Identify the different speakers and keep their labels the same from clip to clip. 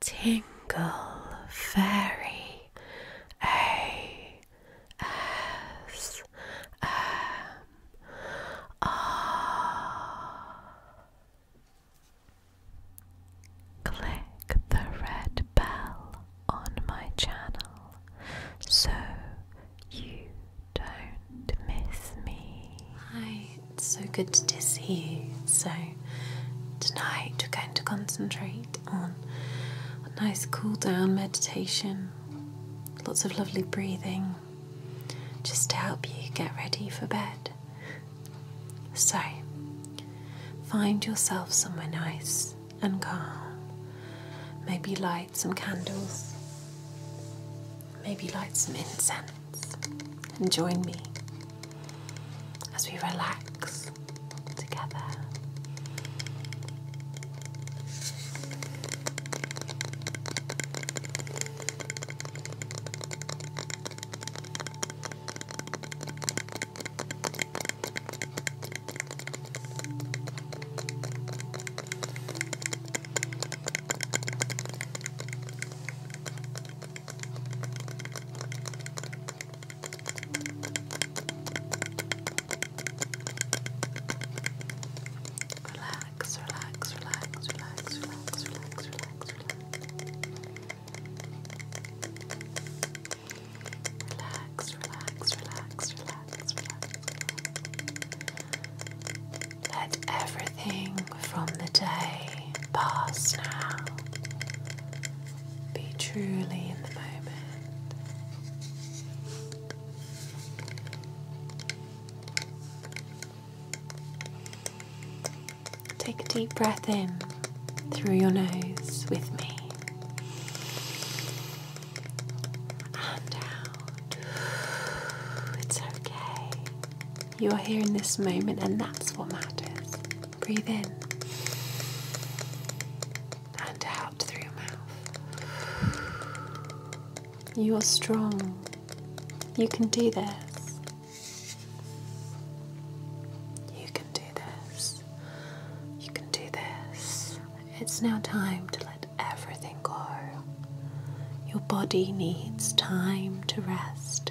Speaker 1: Tingle Fairy A S M R. Click the red bell on my channel so you don't miss me. I it's so good to see you. So, tonight we're going to concentrate on a nice cool down meditation, lots of lovely breathing, just to help you get ready for bed. So, find yourself somewhere nice and calm. Maybe light some candles maybe light some incense and join me as we relax together. Relax, relax, relax, relax, relax, relax, relax, relax. Relax, relax, relax, relax, relax. Let everything from the day past now. Be truly in the moment. Take a deep breath in through your nose with me. And out. It's okay. You are here in this moment, and that's what matters. Breathe in and out through your mouth. You are strong. You can do this. You can do this. You can do this. It's now time to let everything go. Your body needs time to rest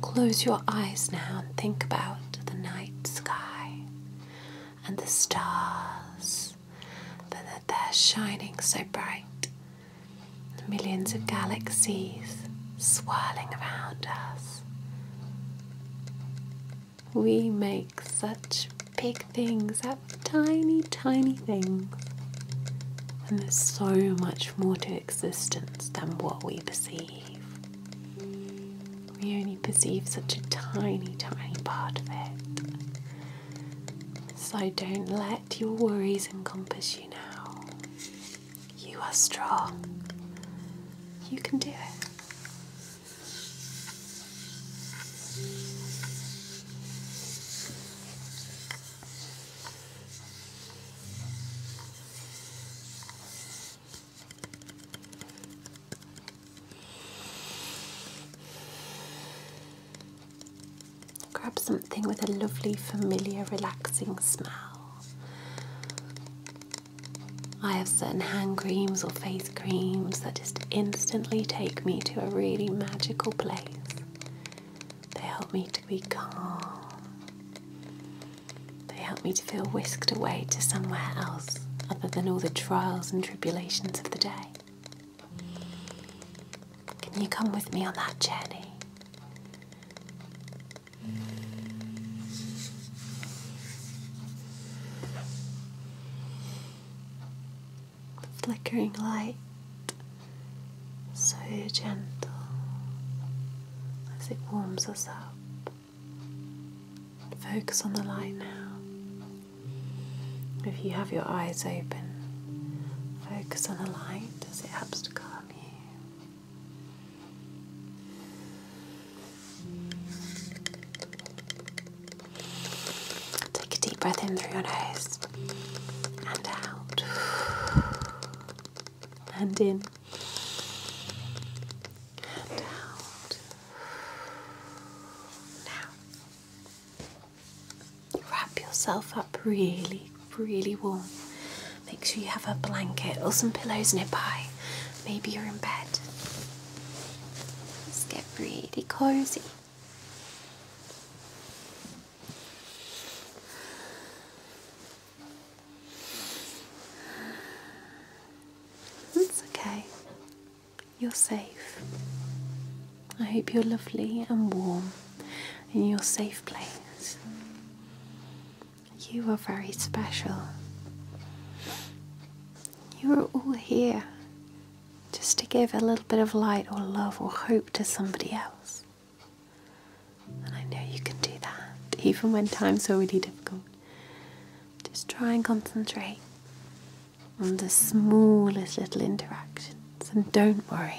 Speaker 1: Close your eyes now and think about the night sky and the stars that they're shining so bright. Millions of galaxies swirling around us. We make such big things out tiny, tiny things. And there's so much more to existence than what we perceive. We only perceive such a tiny, tiny part of it. So don't let your worries encompass you now. You are strong. You can do it. Grab something with a lovely, familiar, relaxing smell. I have certain hand creams or face creams that just instantly take me to a really magical place. They help me to be calm. They help me to feel whisked away to somewhere else other than all the trials and tribulations of the day. Can you come with me on that journey? The flickering light, so gentle as it warms us up. Focus on the light now. If you have your eyes open, focus on the light as it helps to calm you. Take a deep breath in through your nose and out and in and out. Now, wrap yourself up really, really warm. Make sure you have a blanket or some pillows nearby. Maybe you're in bed. Let's get really cozy. It's okay. You're safe. I hope you're lovely and warm in your safe place. You are very special. You are all here just to give a little bit of light or love or hope to somebody else. And I know you can do that, even when times are really difficult. Just try and concentrate on the smallest little interactions and don't worry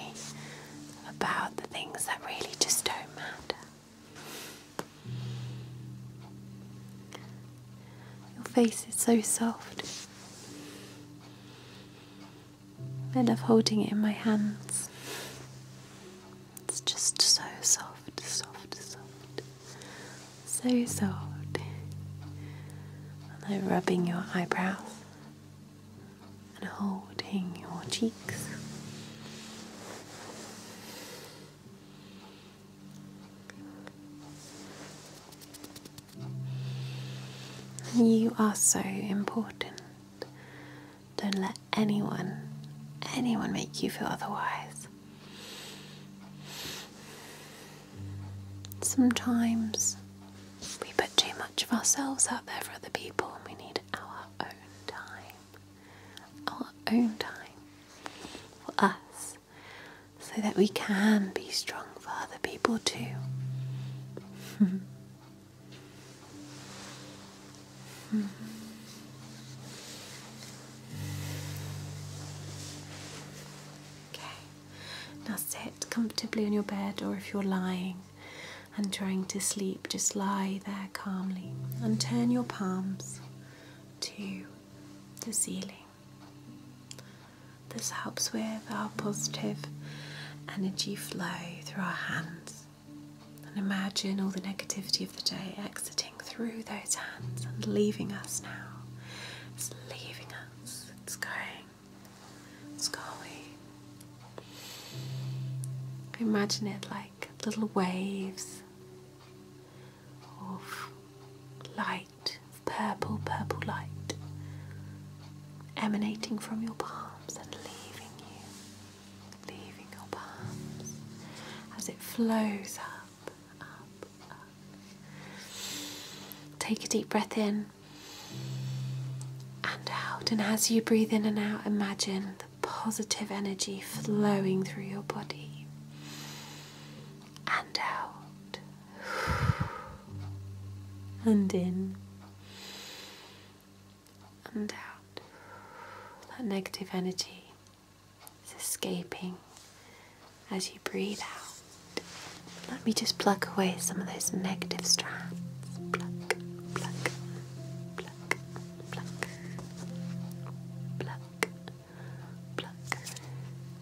Speaker 1: about the things that really just don't matter. Your face is so soft. I love holding it in my hands. It's just so soft, soft, soft, so soft. And I'm rubbing your eyebrows and holding your cheeks. You are so important. Don't let anyone, anyone make you feel otherwise. Sometimes we put too much of ourselves out there for other people and we need our own time. Our own time for us, so that we can be strong for other people too. okay, now sit comfortably on your bed, or if you're lying and trying to sleep, just lie there calmly and turn your palms to the ceiling. This helps with our positive energy flow through our hands. And imagine all the negativity of the day exiting through those hands and leaving us now. It's leaving us, it's going, it's going. Imagine it like little waves of light purple, purple light emanating from your palms and leaving you, leaving your palms as it flows up, up. Take a deep breath in and out, and as you breathe in and out, imagine the positive energy flowing through your body and out and in and out. That negative energy is escaping as you breathe out. Let me just pluck away some of those negative strands. Pluck, pluck, pluck, pluck, pluck, pluck,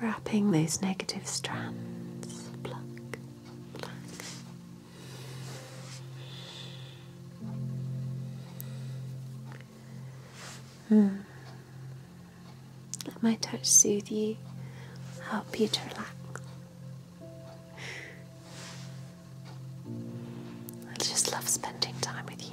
Speaker 1: Wrapping those negative strands, hmm. Let my touch soothe you, help you to relax. I just love spending time with you.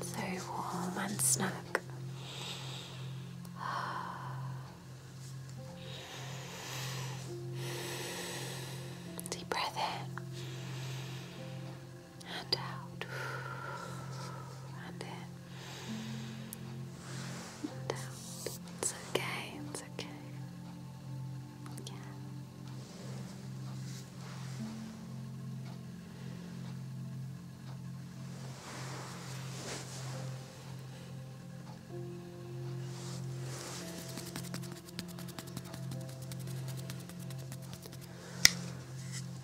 Speaker 1: so warm and snug. Deep breath in and out and in and out. It's okay, it's okay. Yeah.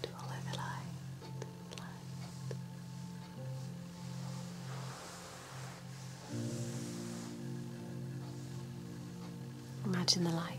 Speaker 1: Follow the light, the light. Imagine the light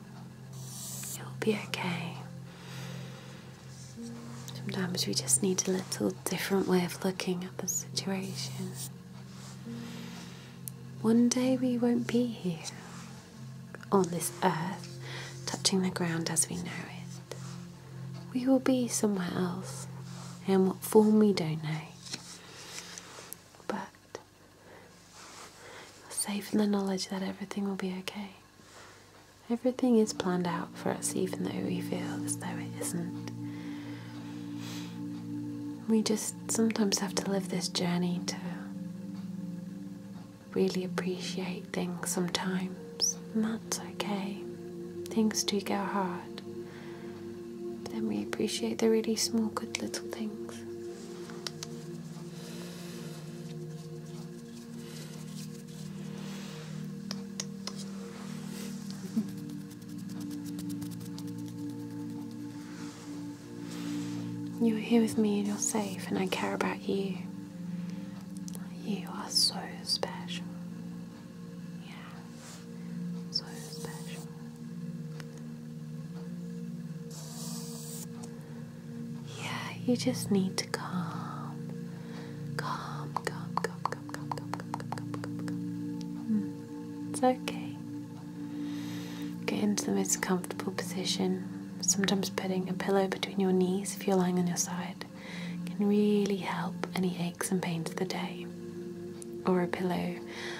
Speaker 1: It'll be okay. Sometimes we just need a little different way of looking at the situation. One day we won't be here on this earth, touching the ground as we know it. We will be somewhere else, in what form we don't know. But Safe in the knowledge that everything will be okay. Everything is planned out for us, even though we feel as though it isn't. We just sometimes have to live this journey to really appreciate things sometimes, and that's okay. Things do go hard, but then we appreciate the really small, good little things. You're here with me and you're safe, and I care about you. You are so special. Yeah, so special. Yeah, you just need to calm. Calm, calm, calm, calm, calm, calm, calm, calm, calm, it's okay. Get into the most comfortable position. Sometimes putting a pillow between your knees if you're lying on your side can really help any aches and pains of the day. Or a pillow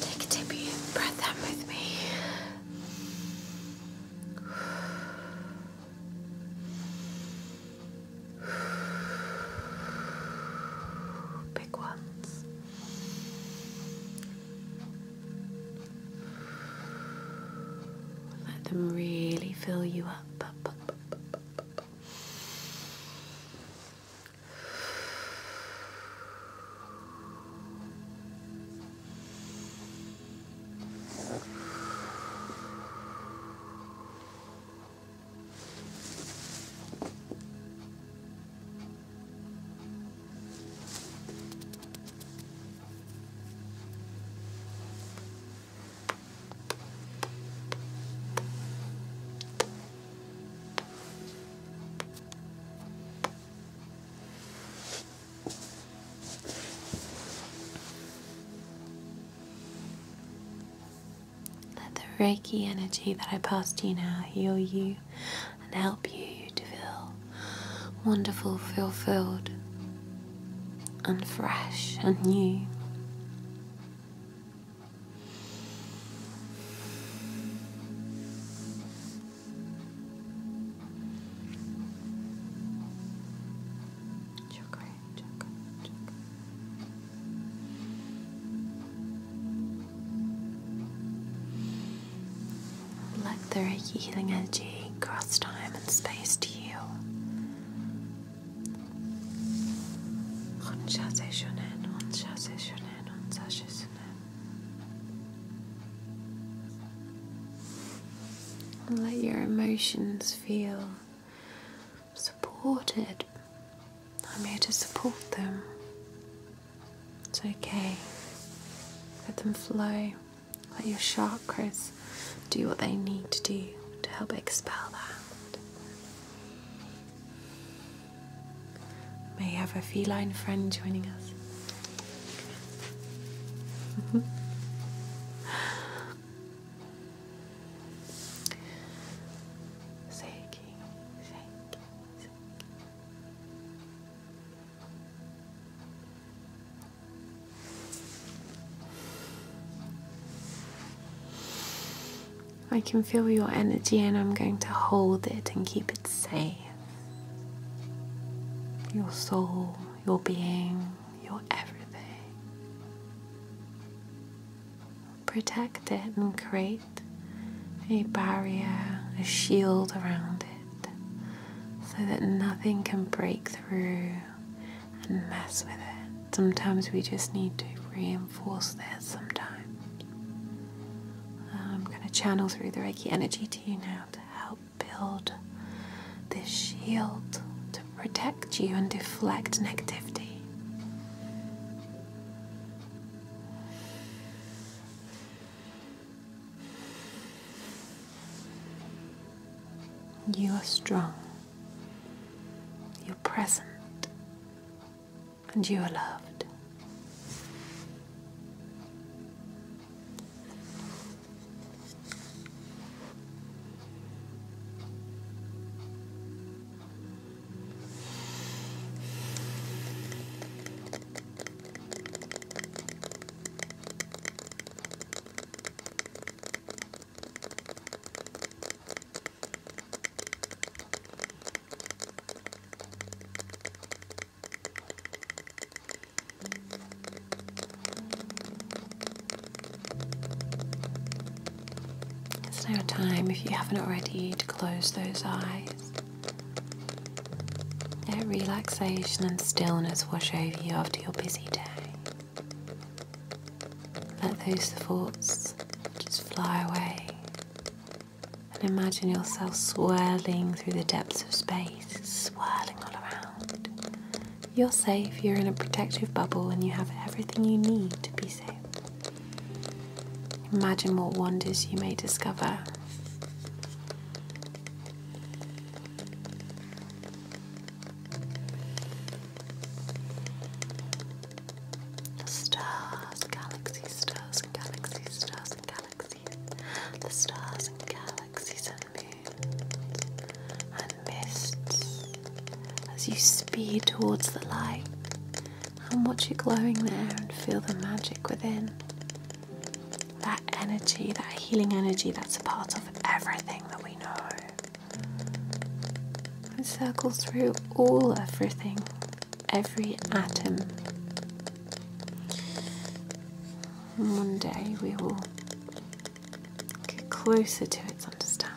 Speaker 1: Take a deep breath in with me. Big ones. Let them really fill you up. up. Let the Reiki energy that I pass to you now heal you and help you to feel wonderful, fulfilled, and fresh and new. Chakra, chakra, chakra. Let the healing energy cross time and space to heal. Let your emotions feel supported. I'm here to support them. It's okay. Let them flow. Let your chakras do what they need to do to help expel that. May you have a feline friend joining us. shaking, shaking, shaking. I can feel your energy, and I'm going to hold it and keep it safe. Your soul, your being, your everything. Protect it and create a barrier, a shield around it so that nothing can break through and mess with it. Sometimes we just need to reinforce that. sometimes. I'm going to channel through the Reiki energy to you now to help build this shield to protect you and deflect negativity. You are strong, you're present, and you are loved. It's now time, if you haven't already, to close those eyes let relaxation and stillness wash over you after your busy day. Let those thoughts just fly away and imagine yourself swirling through the depths of space, swirling all around. You're safe, you're in a protective bubble, and you have everything you need to be safe. Imagine what wonders you may discover. The stars, galaxy stars, and galaxy stars, and galaxies. The stars and galaxies and moons and mists. As you speed towards the light and watch it glowing there and feel the magic within that energy, that healing energy that's a part of everything that we know. It circles through all everything, every atom. one day we will get closer to its understanding.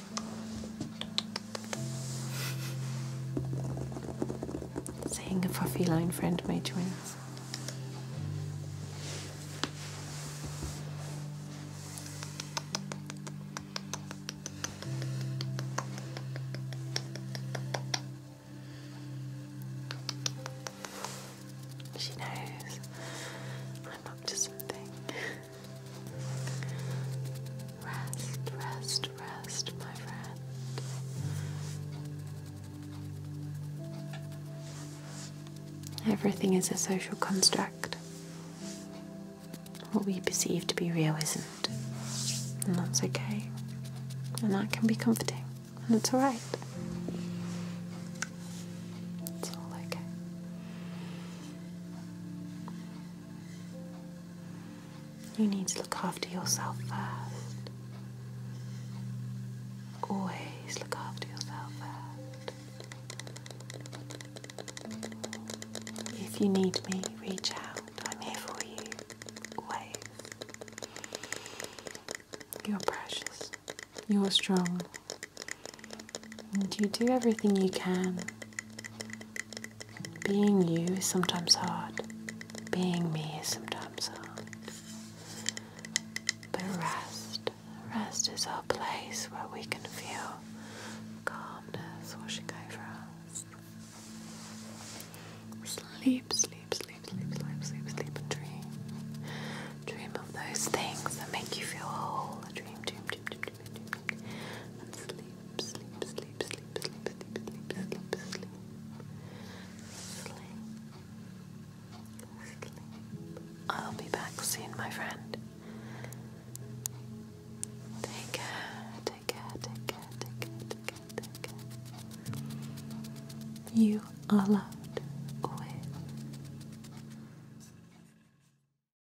Speaker 1: Seeing a for feline friend may join us. She knows I'm up to something. Rest, rest, rest, my friend. Everything is a social construct. What we perceive to be real isn't. And that's okay. And that can be comforting. And it's alright. It's all okay. You need to look after yourself first. Always look after yourself first. If you need me, reach out. I'm here for you. Always. You're precious. You're strong. And you do everything you can being you is sometimes hard. Being me is sometimes hard. But rest, rest is our place where we can feel calmness washing over us. Sleep, sleep, sleep, sleep, sleep, sleep, sleep, and dream. Dream of those things that make you feel whole. Dream, dream, dream, dream, dream and sleep, sleep, sleep, sleep, sleep, sleep, sleep, sleep, sleep. Sleep. Sleep. I'll be back soon, my friend. Take care, take care, take care, take care, take care, take care. You are loved always.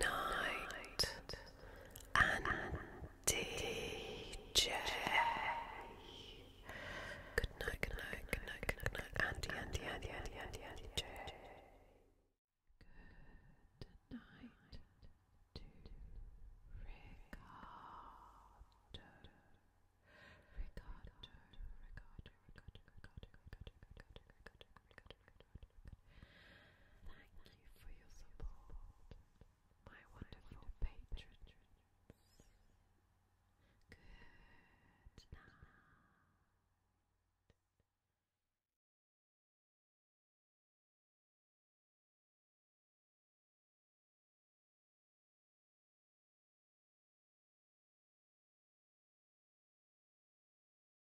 Speaker 1: night and, and Good night, good night, good night, good night, Andy, Andy, Andy, Andy, Andy, Andy, J. Good night to Ricardo, Ricardo, Ricardo, Ricardo, Ricardo, Ricardo, Ricardo, Ricardo, Ricardo, Ricardo, Ricardo, Ricardo, Ricardo Thank you for your support, my wonderful patrons. Good night.